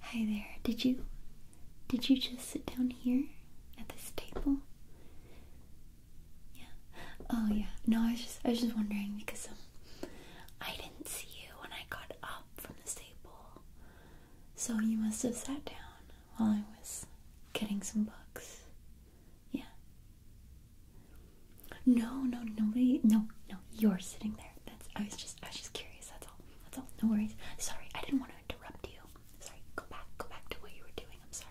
Hi there. Did you did you just sit down here at this table? Yeah. Oh yeah. No, I was just I was just wondering because um, I didn't see you when I got up from the table. So you must have sat down while I was getting some books. Yeah. No, no, nobody. No, no, you're sitting there. That's. I was just. I was just curious. That's all. That's all. No worries. Sorry, I didn't want to interrupt you. Sorry. Go back. Go back to what you were doing. I'm sorry.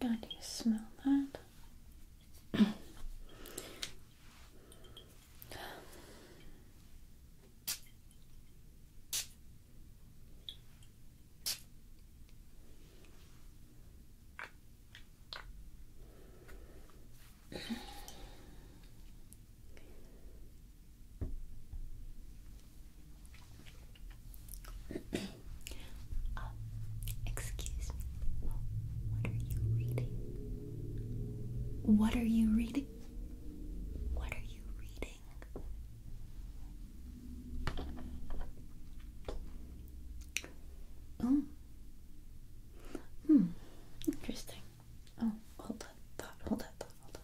God, do you smell that? Uh, excuse me. What are you reading? What are you reading? What are you reading? Oh. Hmm. Interesting. Oh, hold that hold that thought, hold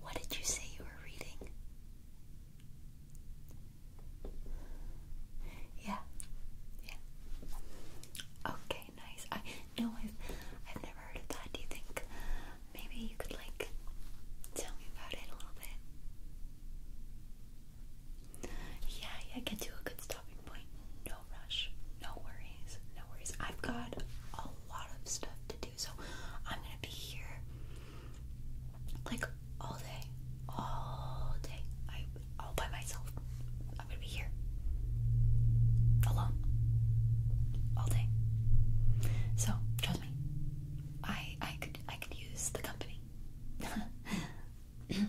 What did you say you were reading? Yeah, yeah. Okay, nice. I no, I've never heard of that. Do you think maybe you could like tell me about it a little bit? Yeah, yeah. Get to a good stopping point. No rush. No worry no worries. I've got a lot of stuff to do, so I'm gonna be here like all day, all day. I all by myself. I'm gonna be here alone all day. So trust me, I I could I could use the company. anyway.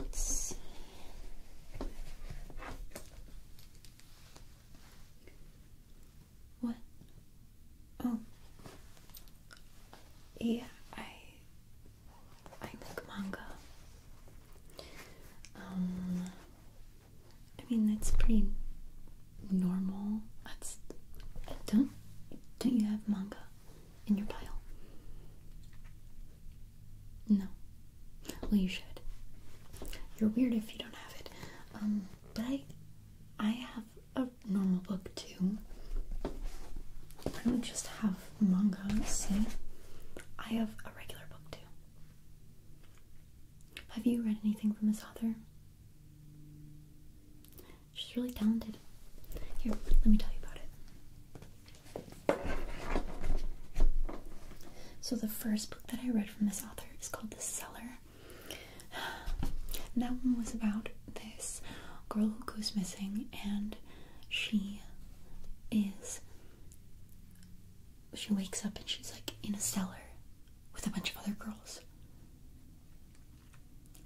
Let's see. What? Oh. Yeah, I I make manga. Um I mean, that's pretty normal. That's don't don't you have manga in your pile? No. Well, you should. You're weird if you don't have it. Um, but I I have a normal book too. I don't just have manga. See, I have a regular book too. Have you read anything from this author? She's really talented. Here, let me tell you about it. So, the first book that I read from this author is called The Cellar. that one was about this girl who goes missing, and she is. She wakes up and she's like in a cellar with a bunch of other girls.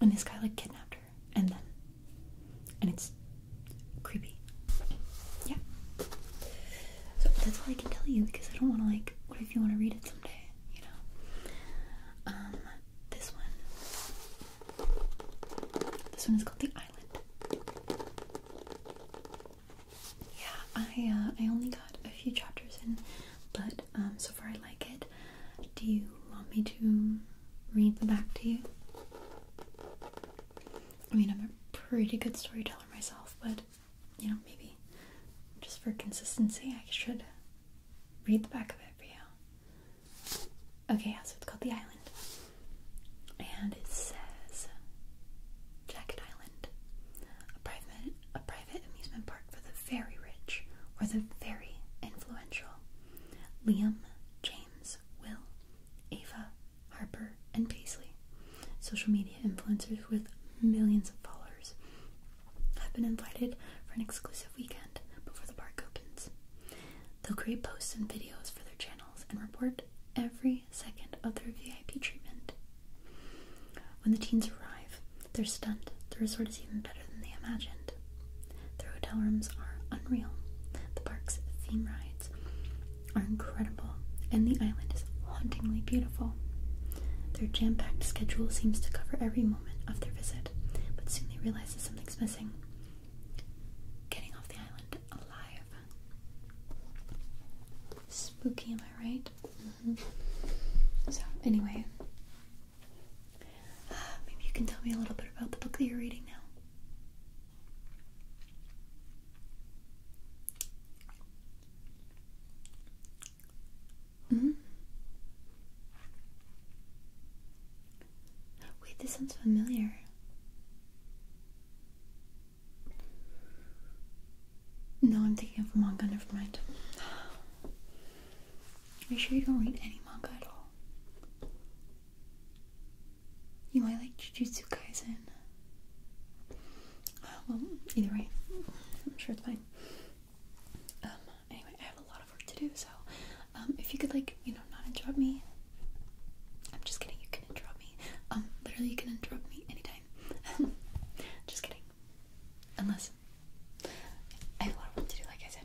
And this guy like kidnapped her and then and it's creepy. Yeah. So that's all I can tell you because I don't wanna like what if you wanna read it someday, you know? Um this one this one is called The Island. Yeah, I uh, I only got a few chapters in but um, so far I like it. Do you want me to read the back to you? I mean, I'm a pretty good storyteller myself, but you know, maybe just for consistency, I should read the back of it for you. Okay, so it's called The Island. And it says Jacket Island. A private a private amusement park for the very rich or the very influential. Liam, James, Will, Ava, Harper, and Paisley, social media influencers with millions of followers, have been invited for an exclusive weekend before the park opens. They'll create posts and videos for their channels and report every second of their VIP treatment when the teens arrive, they're stunned. The resort is even better than they imagined. Their hotel rooms are unreal. The park's theme rides are incredible, and the island is hauntingly beautiful. Their jam packed schedule seems to cover every moment of their visit, but soon they realize that something's missing. Getting off the island alive. Spooky, am I right? Mm-hmm. So, anyway, uh, maybe you can tell me a little bit about the book that you're reading now. Mm-hmm. Wait, this sounds familiar. No, I'm thinking of manga, never mind. Are you sure you don't read any manga at all? You might like Jujutsu Kaisen. Uh, well, either way, I'm sure it's fine. Um, anyway, I have a lot of work to do, so um, if you could, like, you know, not interrupt me. I'm just kidding, you can interrupt me. Um, literally, you can interrupt me anytime. just kidding. Unless I have a lot of work to do, like I said.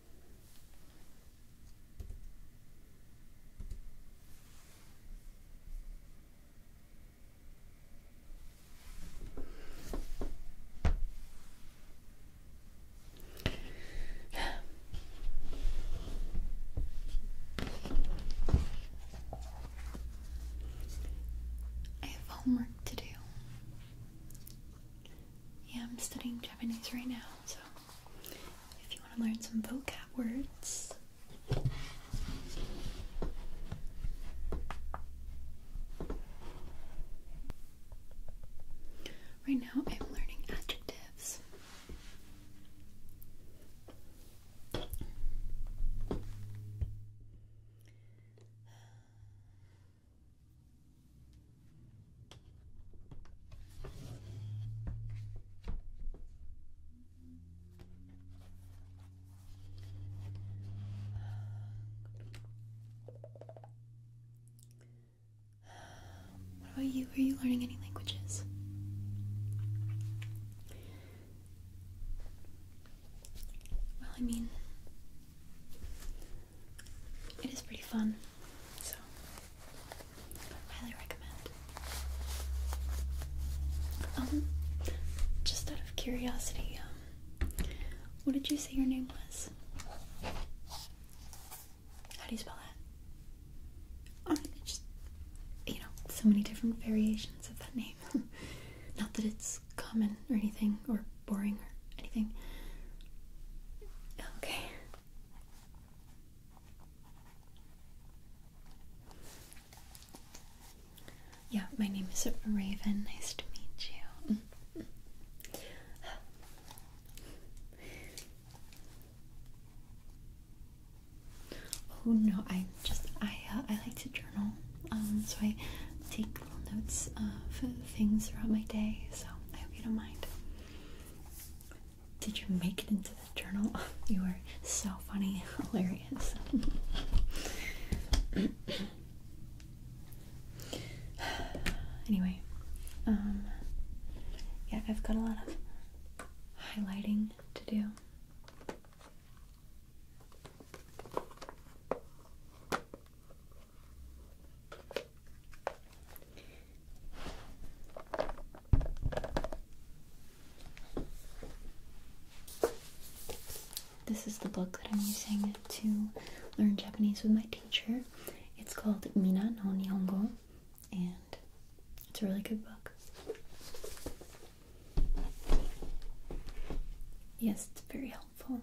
I have homework to do. Yeah, I'm studying Japanese right now, so if you want to learn some vocab words. Right now, I'm learning adjectives. What about you? Are you learning any languages? Well, I mean, it is pretty fun, so Highly recommend. Um, just out of curiosity, um, what did you say your name was? How do you spell that? just you know, so many different variations of that name. Not that it's common or anything, or boring or anything. Okay. Yeah, my name is Raven. Nice to meet you. Mm. oh no, I just I uh, I like to journal. Um, so I take little notes uh, of things throughout my day. So I hope you don't mind. Did you make it into the journal? You were so funny, hilarious. anyway, um, yeah, I've got a lot of highlighting to do. This is the book that I'm using to learn Japanese with my teacher. It's called Mina no Nihongo, and it's a really good book. Yes, it's very helpful.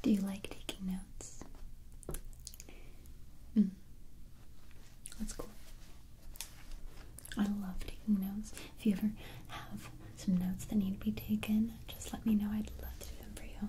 Do you like taking notes? Mm. That's cool. I love taking notes. If you ever have some notes that need to be taken, just let me know. I'd love to do them for you.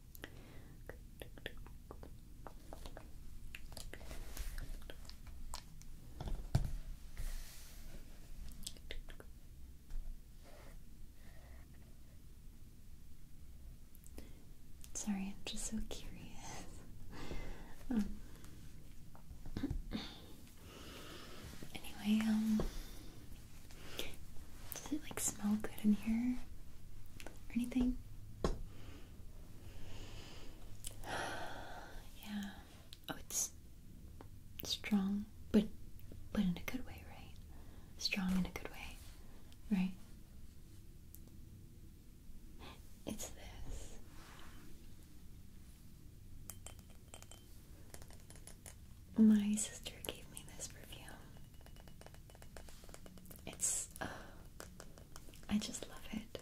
Sorry, I'm just so curious. Um, anyway, um, does it like smell good in here or anything? yeah. Oh, it's strong, but but in a good way, right? Strong in a good way, right? It's this. My sister gave me this perfume. It's, uh, I just love it.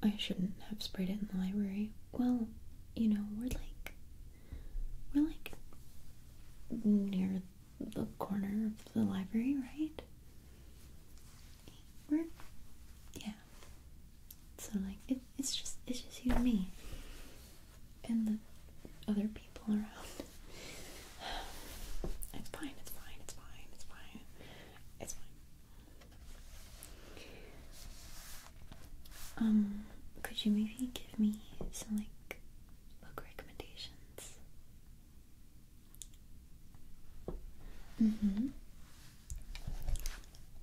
I shouldn't have sprayed it in the library. Well, you know, we're like we're like near the corner of the library, right? We're yeah. So like it, it's just it's just you and me and the other people around. It's fine, it's fine, it's fine, it's fine, it's fine. Um, could you maybe give me some like book recommendations? Mm-hmm.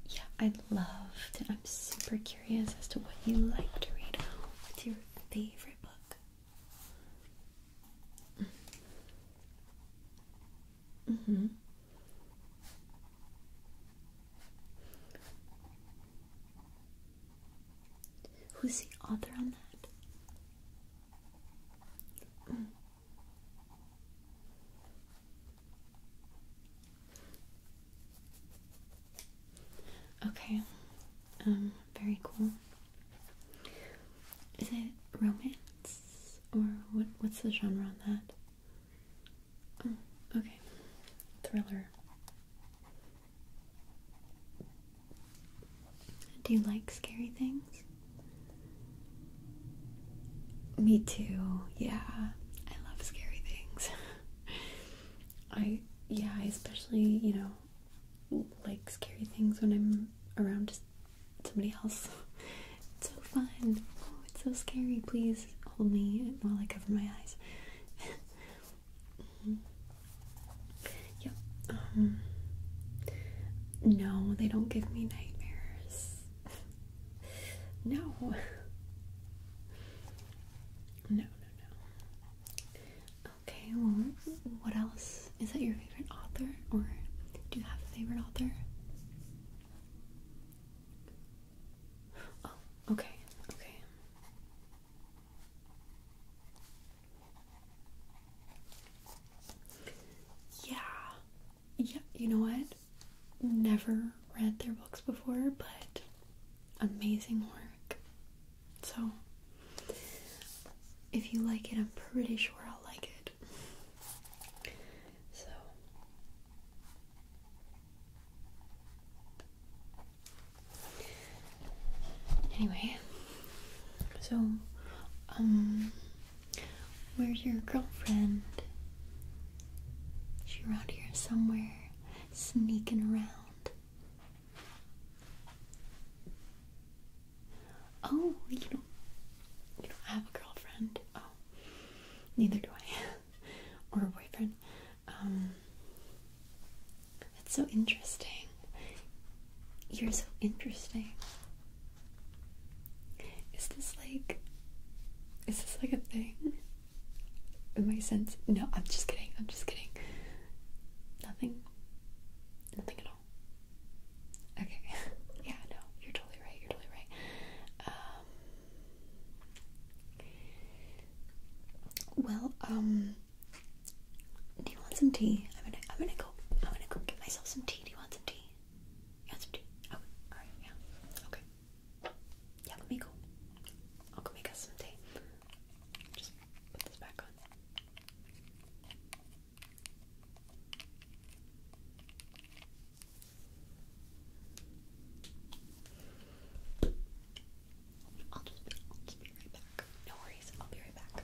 Yeah, I'd love to. I'm super curious as to what you like to read. What's your favorite book? Mm-hmm. mm-hmm. Who's the author on that? Mm. Okay, um, very cool. Is it romance or what? What's the genre on that? Oh, okay. Thriller. Do you like scary things? Me too. Yeah. I love scary things. I yeah, especially, you know, like scary things when I'm around somebody else. It's so fun. Oh, it's so scary. Please hold me while I cover my eyes. Yep. Um, no, they don't give me nightmares. no. No, no, no. Okay, well, what else? Is that your favorite author, or do you have a favorite author? Oh, okay, okay. Yeah. Yeah, you know what? Never read their books before, but amazing work. So, if you like it, I'm pretty sure I'll like it. So, Anyway, so, um, where's your girlfriend? She around here somewhere, sneaking around. Oh, you don't, you don't have a girlfriend. Oh, neither do I. or boyfriend. Um, that's so interesting. You're so interesting. Is this like, is this like a thing? In my sense, no, I'm just kidding. I'm just kidding. Nothing. Nothing at all. Okay. yeah, no, you're totally right. You're totally right. Um, well, um, do you want some tea? I'm gonna, I'm gonna go, I'm gonna go get myself some tea. Do you want some tea? You some tea? Okay, oh, all right, yeah, okay. Yeah, let me go. I'll go make us some tea. Just put this back on. I'll just, be right back. No worries, I'll be right back.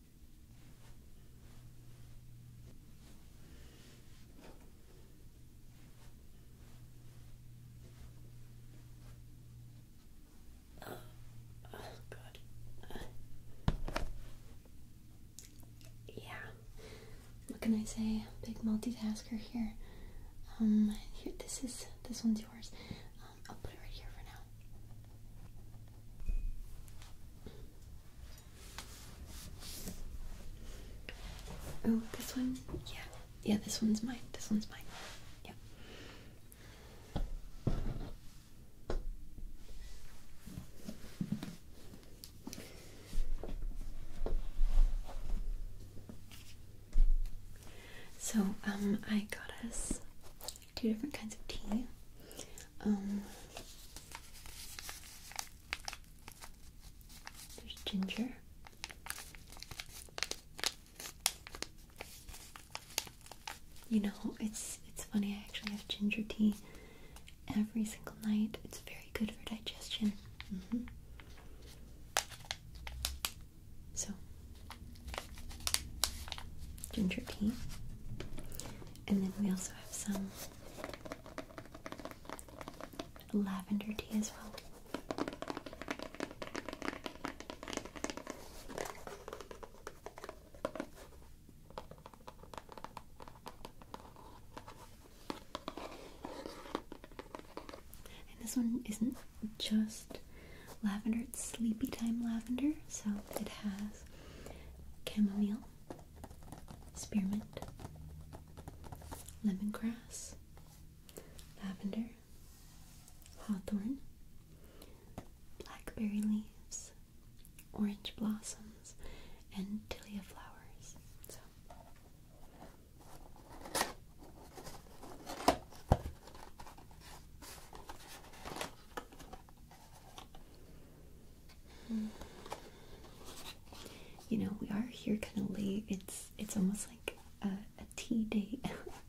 Oh, oh God. yeah. What can I say? Big multitasker here. Um, here. This is this one's yours. Um, I'll put it right here for now. Oh, this one? Yeah. Yeah, this one's mine. This one's mine. Yep. So, um, I got us two different kinds of tea. Um, there's ginger. You know, it's it's funny. I actually have ginger tea every single night. It's very good for digestion. Mm-hmm. So ginger tea. And then we also have some lavender tea as well. And this one isn't just lavender. It's sleepy time lavender, so it has chamomile, spearmint, lemongrass, lavender, hawthorn, blackberry leaves, orange blossoms, and tilia flowers. You know, we are here kind of late. It's it's almost like a, a tea date,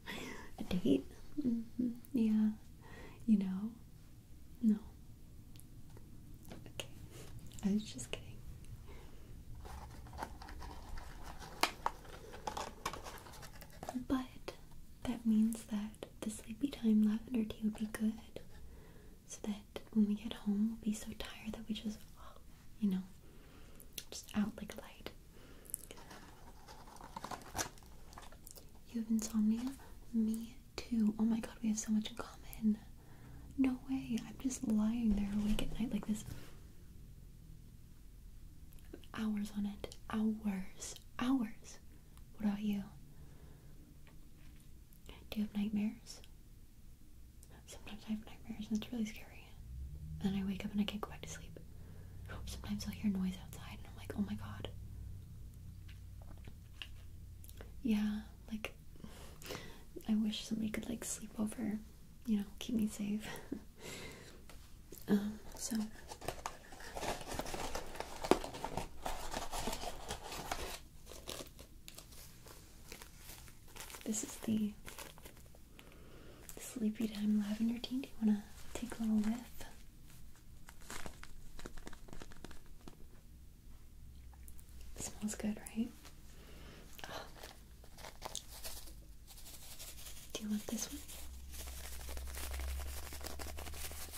a date. Mm-hmm. Yeah, you know, no. Okay, I was just kidding. But that means that the sleepy time lavender tea would be good. So that when we get home, we'll be so tired that we just, you know, just out like light. You have insomnia? Me too. Oh my god, we have so much in common. No way. I'm just lying there awake at night like this. Hours on end. Hours. Hours. What about you? Do you have nightmares? Sometimes I have nightmares and it's really scary. And I wake up and I can't go back to sleep. Sometimes I'll hear noise outside and I'm like, oh my god. Yeah, like, I wish somebody could like sleep over, you know, keep me safe. um, so. This is the Sleepy Time Lavender Tea. Do you want to take a little whiff? smells good, right? Do you want this one?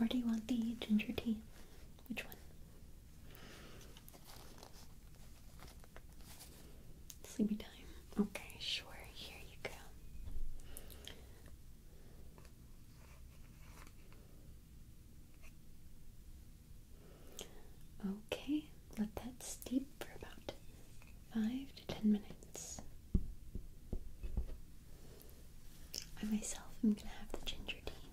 Or do you want the ginger tea? Which one? Sleepy time. Okay, sure. Here you go. Okay, let that steep for about five to ten minutes. I myself am gonna have the ginger tea.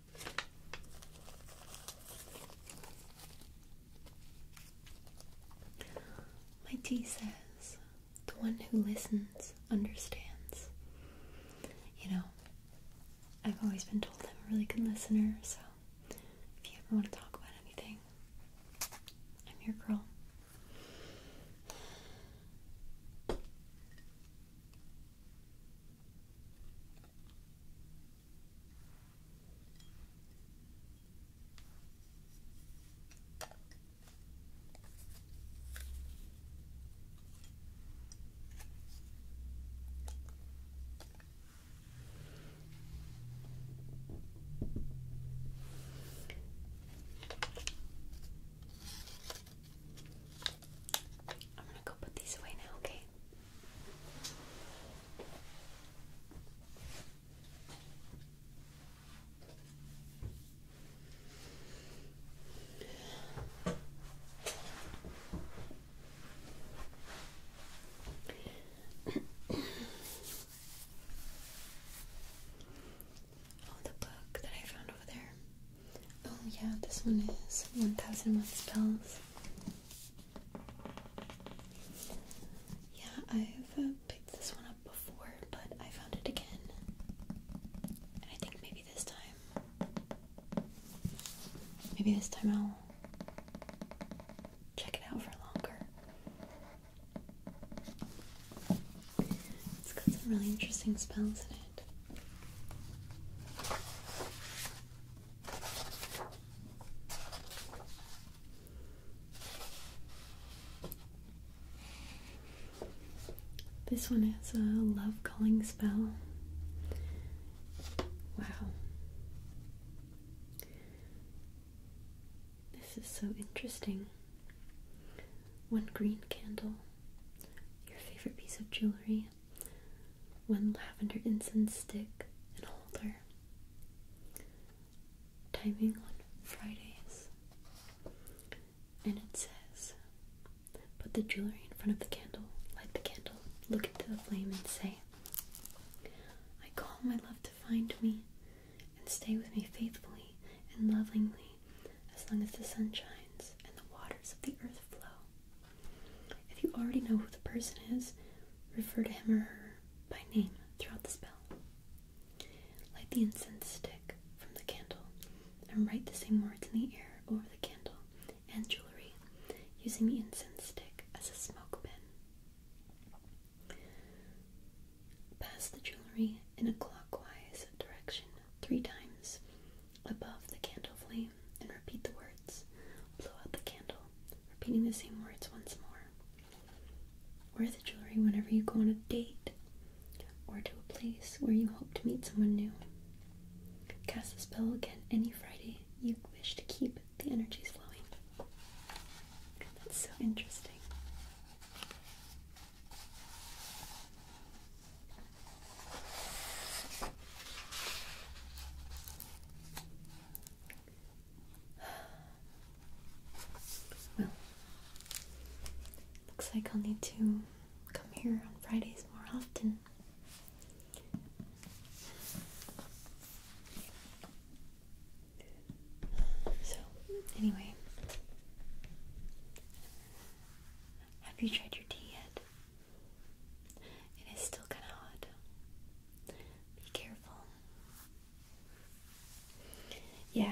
My tea says, the one who listens understands. You know, I've always been told I'm a really good listener, so if you ever want to talk about anything, I'm your girl. I'm going to go put these away now, okay? oh, the book that I found over there. Oh, yeah, this one is 1001 Spells yeah, I've uh, picked this one up before, but I found it again. And I think maybe this time, maybe this time I'll check it out for longer. It's got some really interesting spells in it. This one is a love calling spell. Wow. This is so interesting. One green candle, your favorite piece of jewelry, one lavender incense stick, and holder, timing on Fridays. And it says, Put the jewelry in front of the candle, light the candle, look into the flame, and say, I call my love to find me and stay with me faithfully and lovingly as long as the sun shines and the waters of the earth flow. If you already know who the person is, refer to him or her by name throughout the spell. Light the incense stick from the candle and write the same words in the air over the candle and jewelry using the incense stick as a smoke pin. Pass the jewelry in a clockwise direction three times above the candle flame and repeat the words. Blow out the candle, repeating the same words once more. Wear the jewelry whenever you go on a date or to a place where you hope to meet someone new. Cast the spell again any Friday you wish to keep the energies flowing. That's so interesting. Well, looks like I'll need to come here on Fridays more often. So, anyway, have you tried your tea yet? It is still kind of hot. Be careful. Yeah,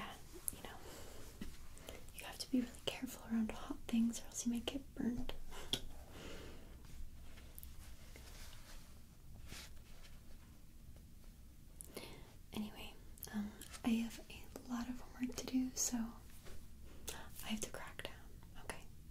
you know, you have to be really careful around hot things or else you might get burned. Anyway, um, I have a lot of homework to do, so I have to crack down, okay?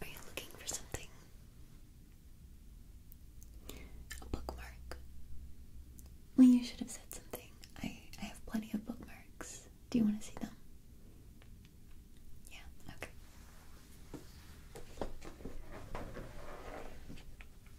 Are you looking for something? A bookmark. Well, you should have said something. I, I have plenty of bookmarks. Do you want to see them? Yeah, okay.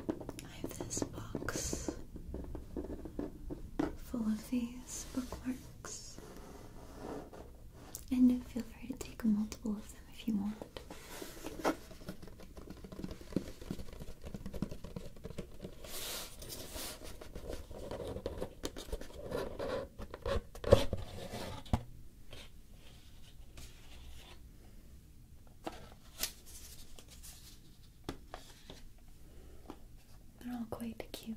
I have this box full of these bookmarks. And feel free to take multiple of them if you want. They're all quite cute.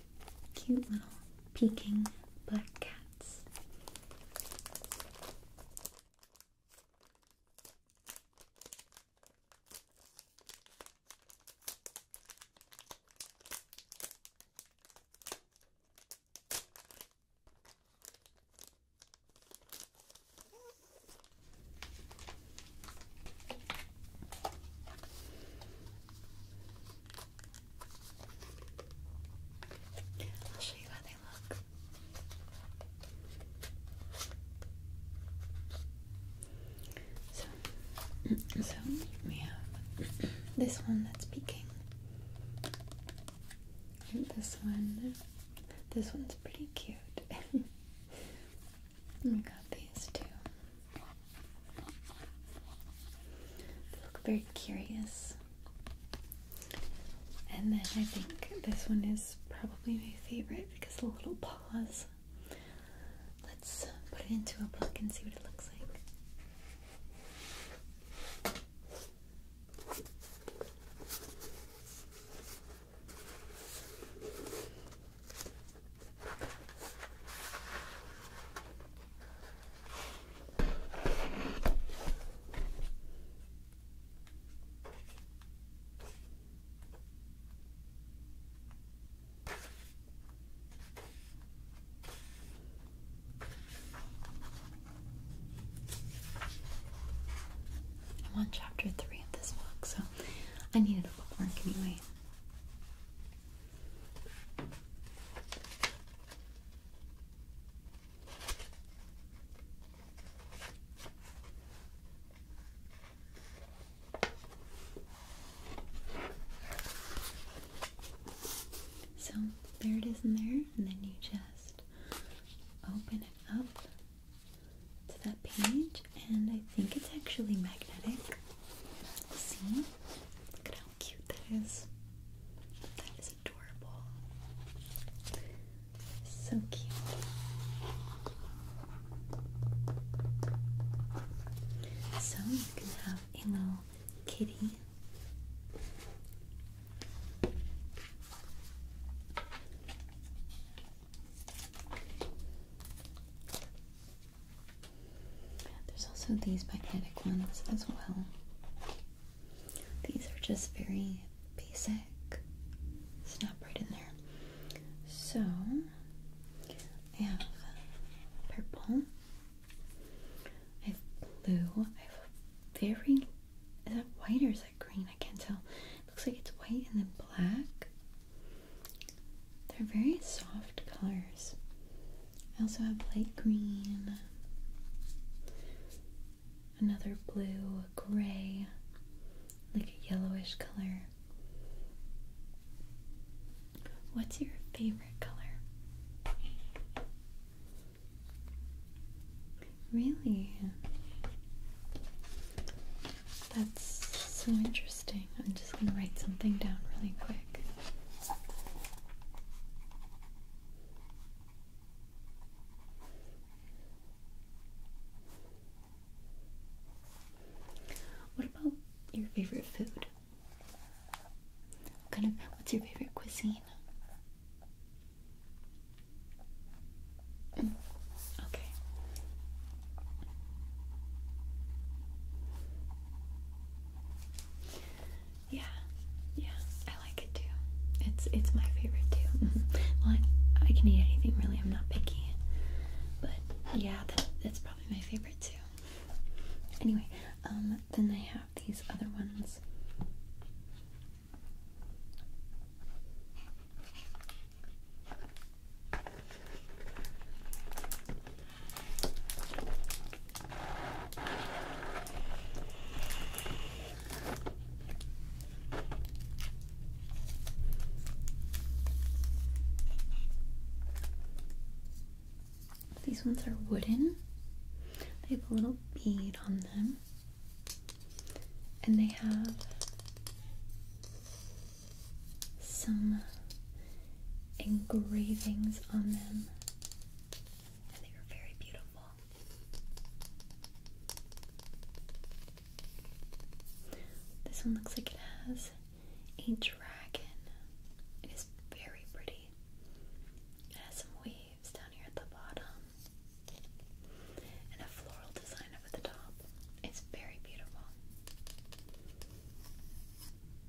cute little peeking black cats. I'll show you how they look. So, so we have this one that's peeking. this one, this one's pretty cute. we got these two. They look very curious. And then I think this one is probably my favorite because the little paws. Let's put it into a book and see what it looks like i want chapter three of this book, so I needed a bookmark anyway. So there it is in there, and then you just open it up to that page, and I think it's actually magnetic. See? Look at cute that is. That is adorable. So cute. So you can have a little kitty. There's also these magnetic ones as well. These are just very basic. Snap right in there. So I have purple. I have blue. I have very is that white or is that green? I can't tell. looks like it's white and then black. They're very soft colors. I also have light green, another blue, gray, like a yellowish color. What's your favorite color? Really? That's so interesting. I'm just going to write something down really quick. What about your favorite food? kind of what's your favorite cuisine? Mm, okay. Yeah, yeah, I like it too. It's it's my favorite too. well, I, can eat anything really. I'm not picky, but yeah, that, that's probably my favorite too. Anyway, um, then I have these other ones. These ones are wooden. They have a little bead on them. And they have some engravings on them they are very beautiful. This one looks like it has a dragon. It is very pretty. It has some waves down here at the bottom and a floral design up at the top. It's very beautiful.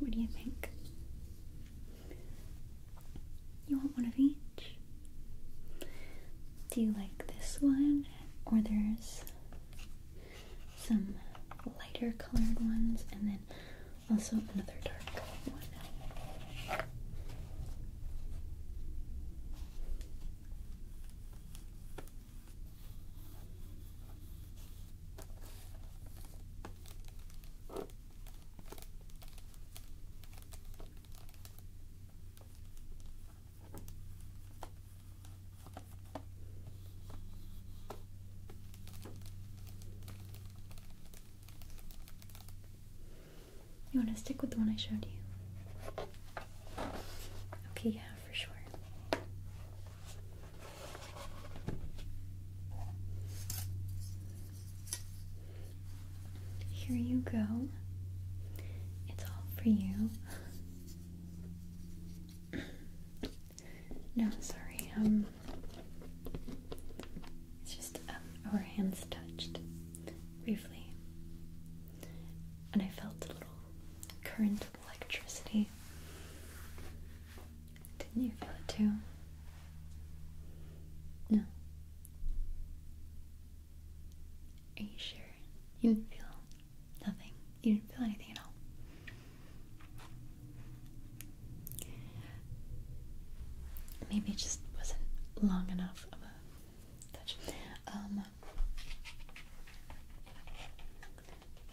What do you think? You want one of each? Do you like this one or there's some lighter colored ones, and then also another dark one. You want to stick with the one I showed you? Okay, yeah, for sure. Here you go. It's all for you. No, sorry. Um, it's just um, our hands touched briefly, and I felt a little current of electricity. Didn't you feel it too? No. Are you sure you feel Nothing. You didn't feel anything at all. Maybe it just wasn't long enough of a touch. Um,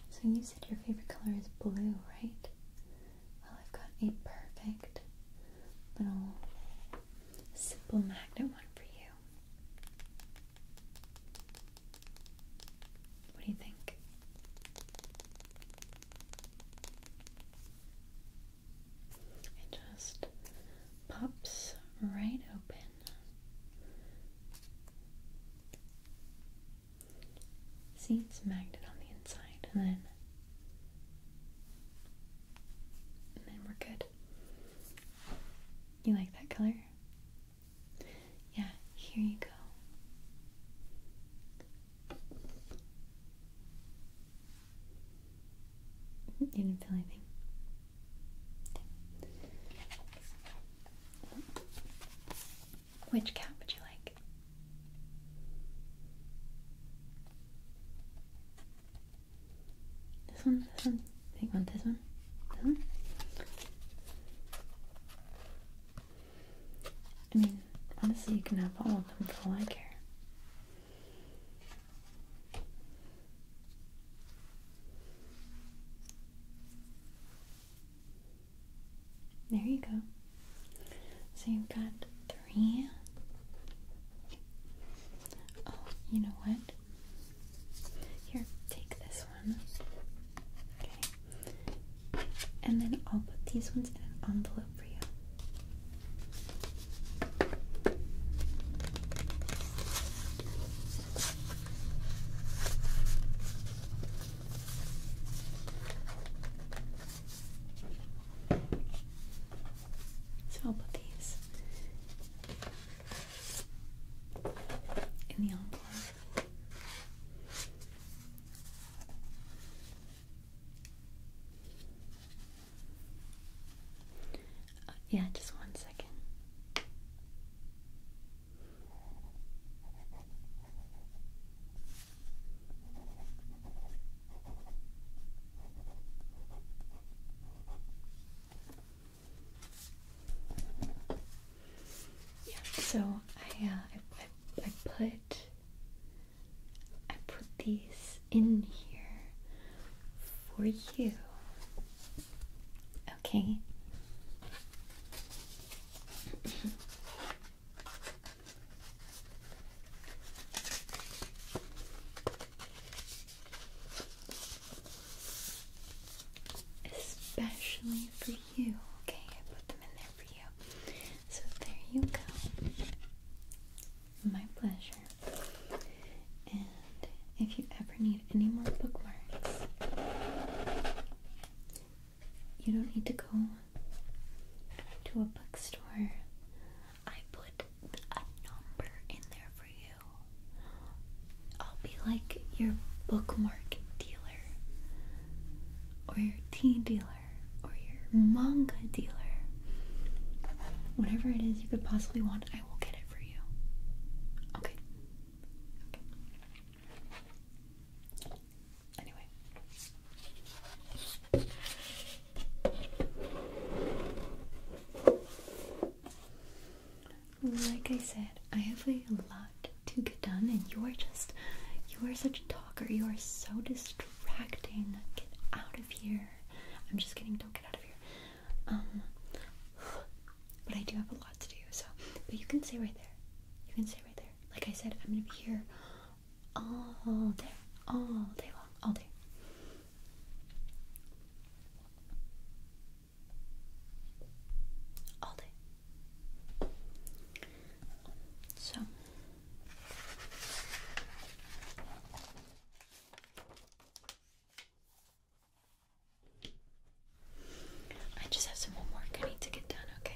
so you said your favorite color is blue, right? Well, I've got a perfect little simple magnet one for you. What do you think? It just pops right open. See, it's magnet on the inside, and then and then we're good. You like that color? Yeah, here you go. Mm-hmm, you didn't feel anything. Which cap would you like? This one, this one, think on this one, this one. I mean, honestly, you can have all of them for all I care. There you go. So you've got three. Oh, you know what? Here, take this and then I'll put these ones in an envelope for you. So I'll put these in the envelope. Uh, yeah, just one second. Yeah. So uh, I, I put I put these in here for you. Okay. Especially for you. Okay, I put them in there for you. So there you go. My pleasure. And if you ever need any more bookmarks, you don't need to go to a bookstore. I put a number in there for you. I'll be like your bookmark dealer or your teen dealer or your manga dealer. Whatever it is you could possibly want, I will get it for you. Okay. Anyway. Like I said, I have a lot to get done and you're just you are such a talker. You are so distracting. Get out of here. I'm just getting do get out of here. Um but I do have a lot to do, so but you can stay right there. You can stay right there. Like I said, I'm gonna be here all day. All day long. All day. All day. So I just have some homework I need to get done, okay?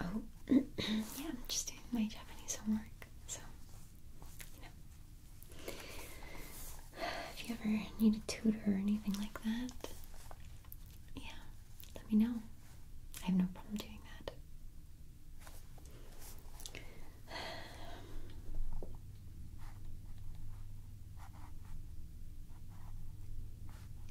Oh, yeah, I'm just doing my Japanese homework, so, you know. If you ever need a tutor or anything like that, yeah, let me know. I have no problem doing that.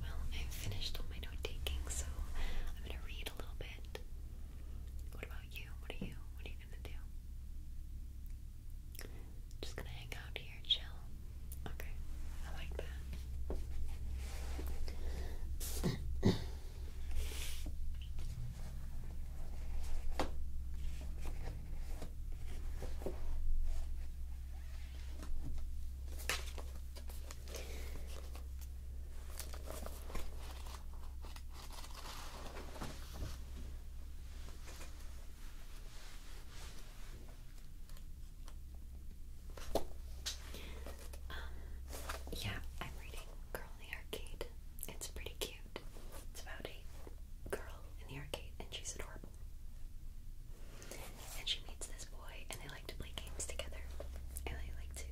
Well, I've finished all my note taking, so I'm going to read a little bit. What about you? What are you? What are you gonna do? Just gonna hang out here, chill. Okay, I like that. Um, yeah, I'm reading Girl in the Arcade. It's pretty cute. It's about a girl in the arcade and she's adorable. And she meets this boy and they really like to play games together. I like to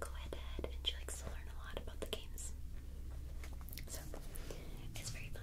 go head to head, and she likes to learn a lot about the games. So, it's very fun.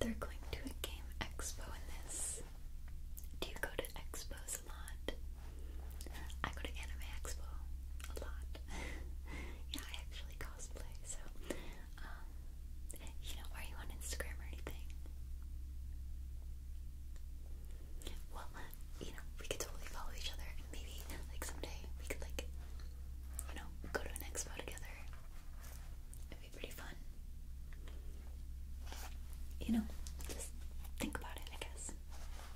They're going to a game expo in this. Do you go to expos class a lot. I go to Anime Expo a lot. yeah, I actually cosplay, so um, you know, are you on Instagram or anything? Well, you know, we could totally follow each other maybe like someday we could like you know, go to an expo together. It'd be pretty fun. You know, just think about it, I guess.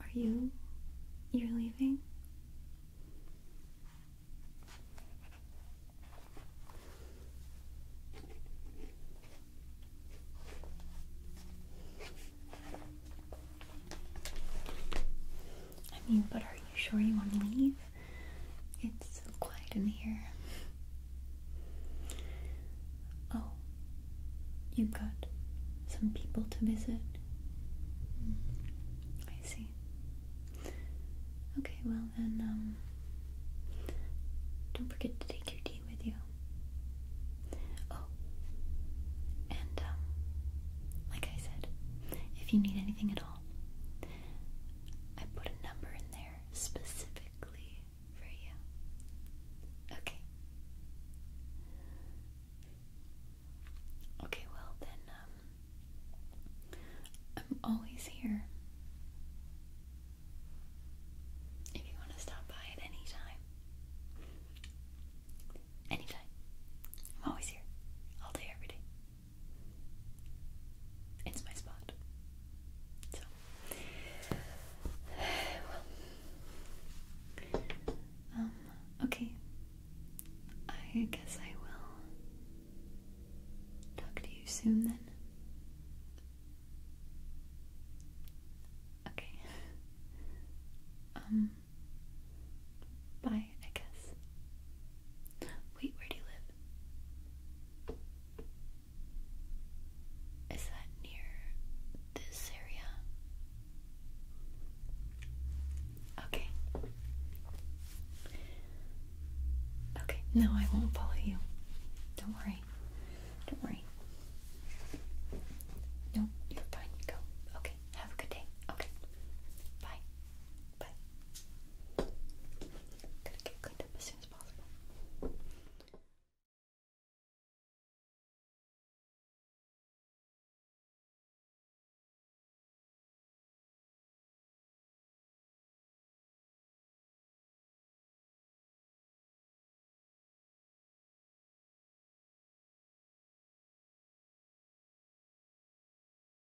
Are you you're leaving? I mean, but are you sure you want to leave? It's so quiet in here. Oh, you've got some people to visit. Mm, I see. Okay, well then, um, don't forget to take your tea with you. Oh, and, um, like I said, if you need anything at all, I put a number in there specifically for you. Okay. Okay, well then, um, I'm always here. If you want to stop by at any time. Anytime. I'm always here. All day, every day. It's my spot. So, um, okay. I guess I will talk to you soon then. Okay. Um, bye. I guess. Wait, where do you live? Is that near this area? Okay. Okay, no, I won't follow you. Don't worry. Don't worry. No, you're fine. Go. Okay. Have a good day. Okay. Bye. Bye. going to get cleaned up as soon as possible.